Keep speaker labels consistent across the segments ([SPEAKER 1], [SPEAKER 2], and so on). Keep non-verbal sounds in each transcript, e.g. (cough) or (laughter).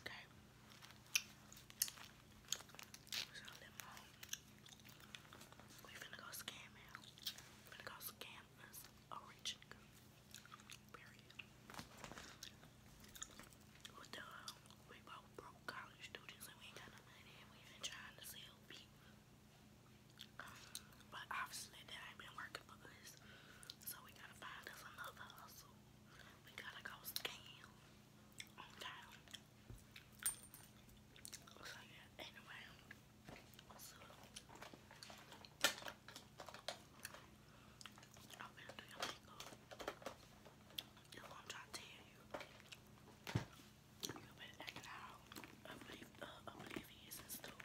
[SPEAKER 1] Okay. So We finna go scam We finna go scam us a Period. We both broke college students and we ain't got no money we been trying to sell people. But obviously that ain't been working for us. So we gotta find us another hustle. We gotta go scam. Okay. So yeah, anyway. So I'm gonna do your makeup. Just gonna try to tell you. You've been acting out obliv uh, stuff.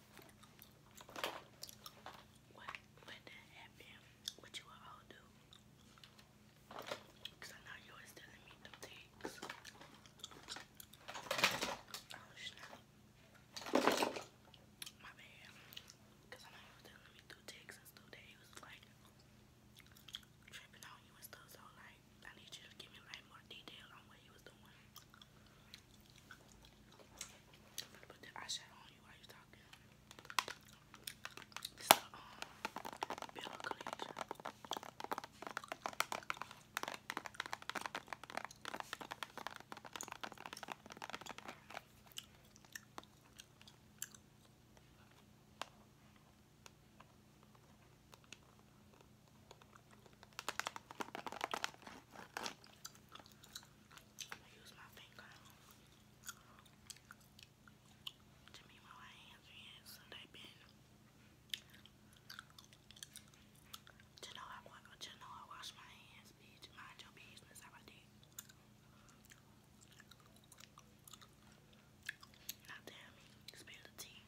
[SPEAKER 1] What when that happened, what you all do? Cause I know you always telling me do things. Oh snap. My bad. Cause I know you was telling me do things and stuff that he was like tripping on you and stuff so like I need you to give me like more detail on what he was doing. I'm gonna put the eyeshadow on you while you're talking. I'm use my finger to me while I answer it they been to know I want to know I wash my hands, bitch. Mind your business I did. Now tell me, spill the tea.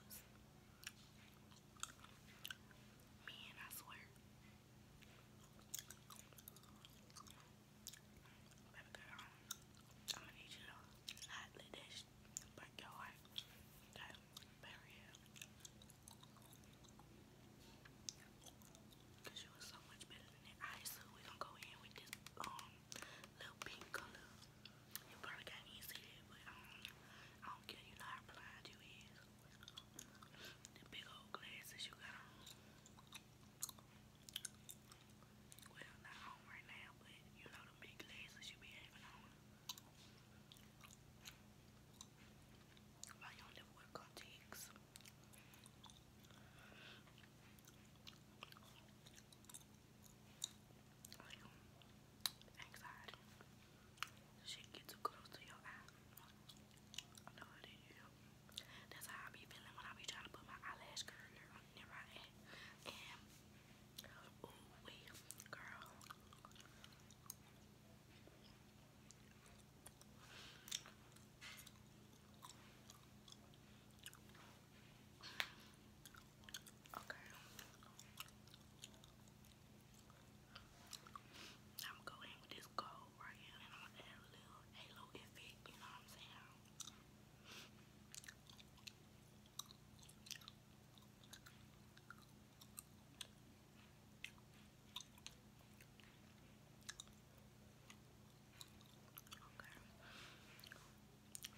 [SPEAKER 1] Man, I swear. I'm gonna need you to not let that sh Cause you was so much better than that. Alright, so we're gonna go in with this um, little pink color. You probably can't even see it, but I um, I don't care. You know how blind you is. The big old glasses you got Well, not on right now, but you know the big glasses you be having on. Why you do wear contacts? like anxiety. Shit too close to your eye. That's how I be feeling when I be trying to put my eyelash curler on there right ooh wee girl. Okay. I'm going with this gold right here and I'm gonna add a little halo effect, you know what I'm saying? Okay.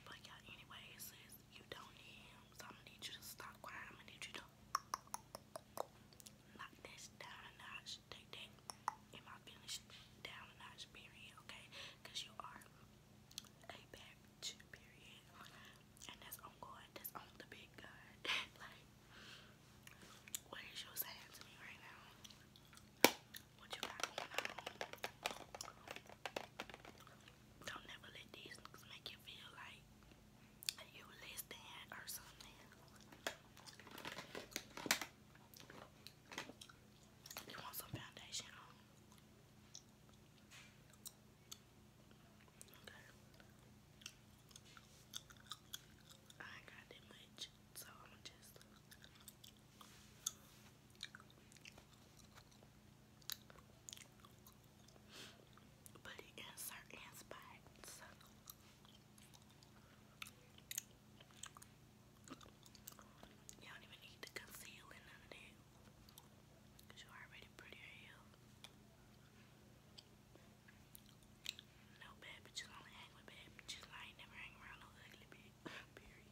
[SPEAKER 1] But yeah, anyways, sis, you don't need him, so i need you to stop crying. i need you to knock this down a notch. Take that in my feelings down a notch, period, okay? you are a bitch, period. And that's on God, that's on the big God. (laughs) like, what is you saying to me right now? What you Don't never let these niggas make you feel like you less than or something. You want some foundation Okay. I got that much, so I'm just but the insert is bites. You do even need to conceal in none Cause you're already pretty, are you? No bad bitches only hang with bad bitches. I never hang around no ugly bitch. Period.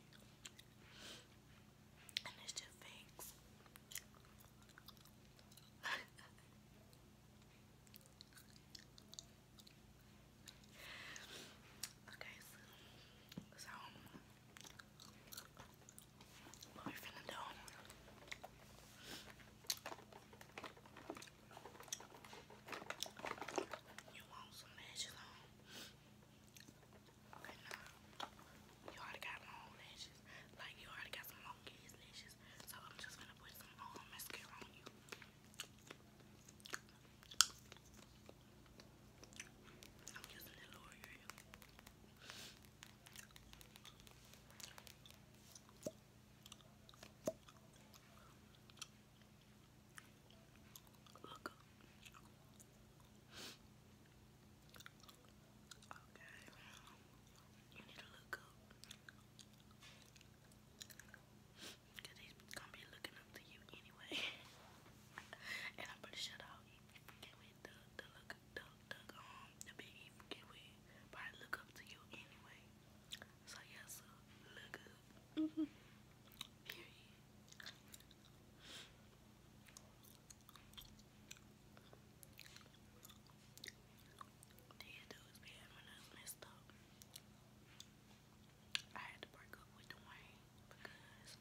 [SPEAKER 1] And it's just fakes. (laughs) okay, so what we finna do? You want some lashes Okay, no. You already got long lashes. Like, you already got some long ass lashes. So, I'm just gonna put some um, mascara on you. I'm using the L'Oreal. Look up. Okay. You need to look up. Cause he's gonna be looking up to you anyway. (laughs) and I'm pretty sure that he forget with the the look the the um the big he forget with but I look up to you anyway. So yeah, so look good. -hmm. Period. These be having us messed up. I had to break up with Dwayne because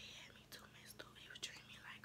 [SPEAKER 1] he had me too messed up. He was treating me like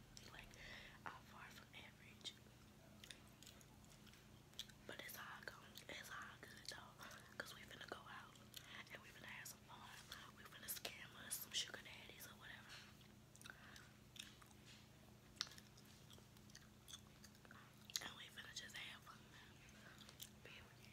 [SPEAKER 1] Like, I'm far from average. But it's all good. It's all good though. we finna go out and we finna have some fun. We finna scam us some sugar daddies or whatever. And we finna just have fun. Period.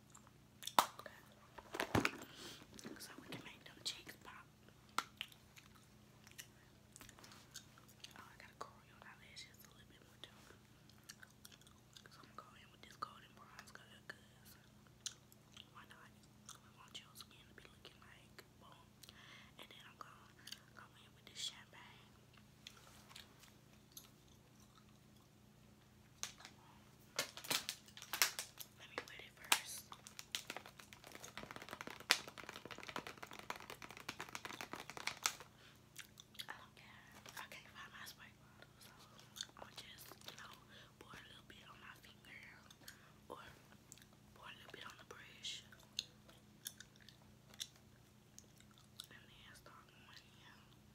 [SPEAKER 1] Okay. So we can make them cheeks pop. Oh, I gotta curl your eyelashes a little bit too. So I'm going in with this golden bronze color because why not? We want your skin to be looking like boom. And then I'm gonna go in with this champagne. Let me wet it first. I don't care. I can't find my spike so I'll just, you know, pour a little bit on my finger or pour a little bit on the brush. And then start going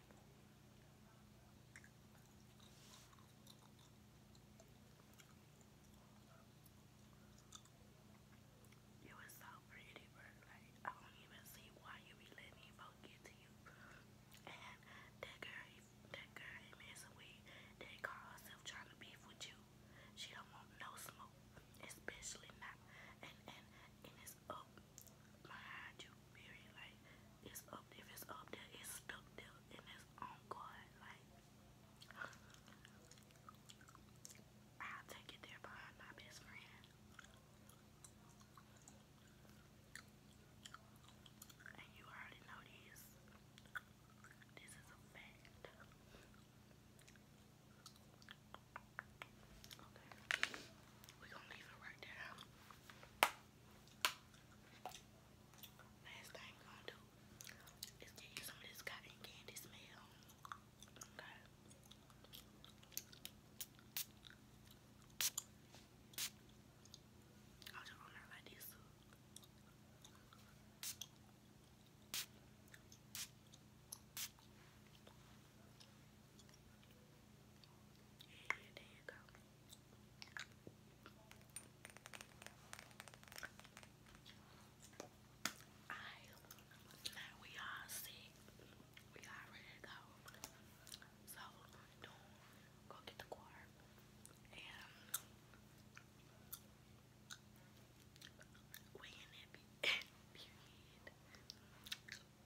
[SPEAKER 1] It was so pretty, but like I don't even see why you be letting these get to you. And that girl, that girl ain't messing with. They call herself trying to beef with you. She don't want no smoke, especially not. And and and it's up behind you. Period. Like it's up if it's up there, it's stuck there and it's on guard. Like I'll take it there behind my best friend. And you already know this. This is a fact. Okay. We're gonna leave it right there. Last thing I'm gonna do is give you some of this cotton candy smell. Okay. I'll just run her like this. Now and there you go. I now we all sick. We all ready to go. So what i go get the car and (laughs)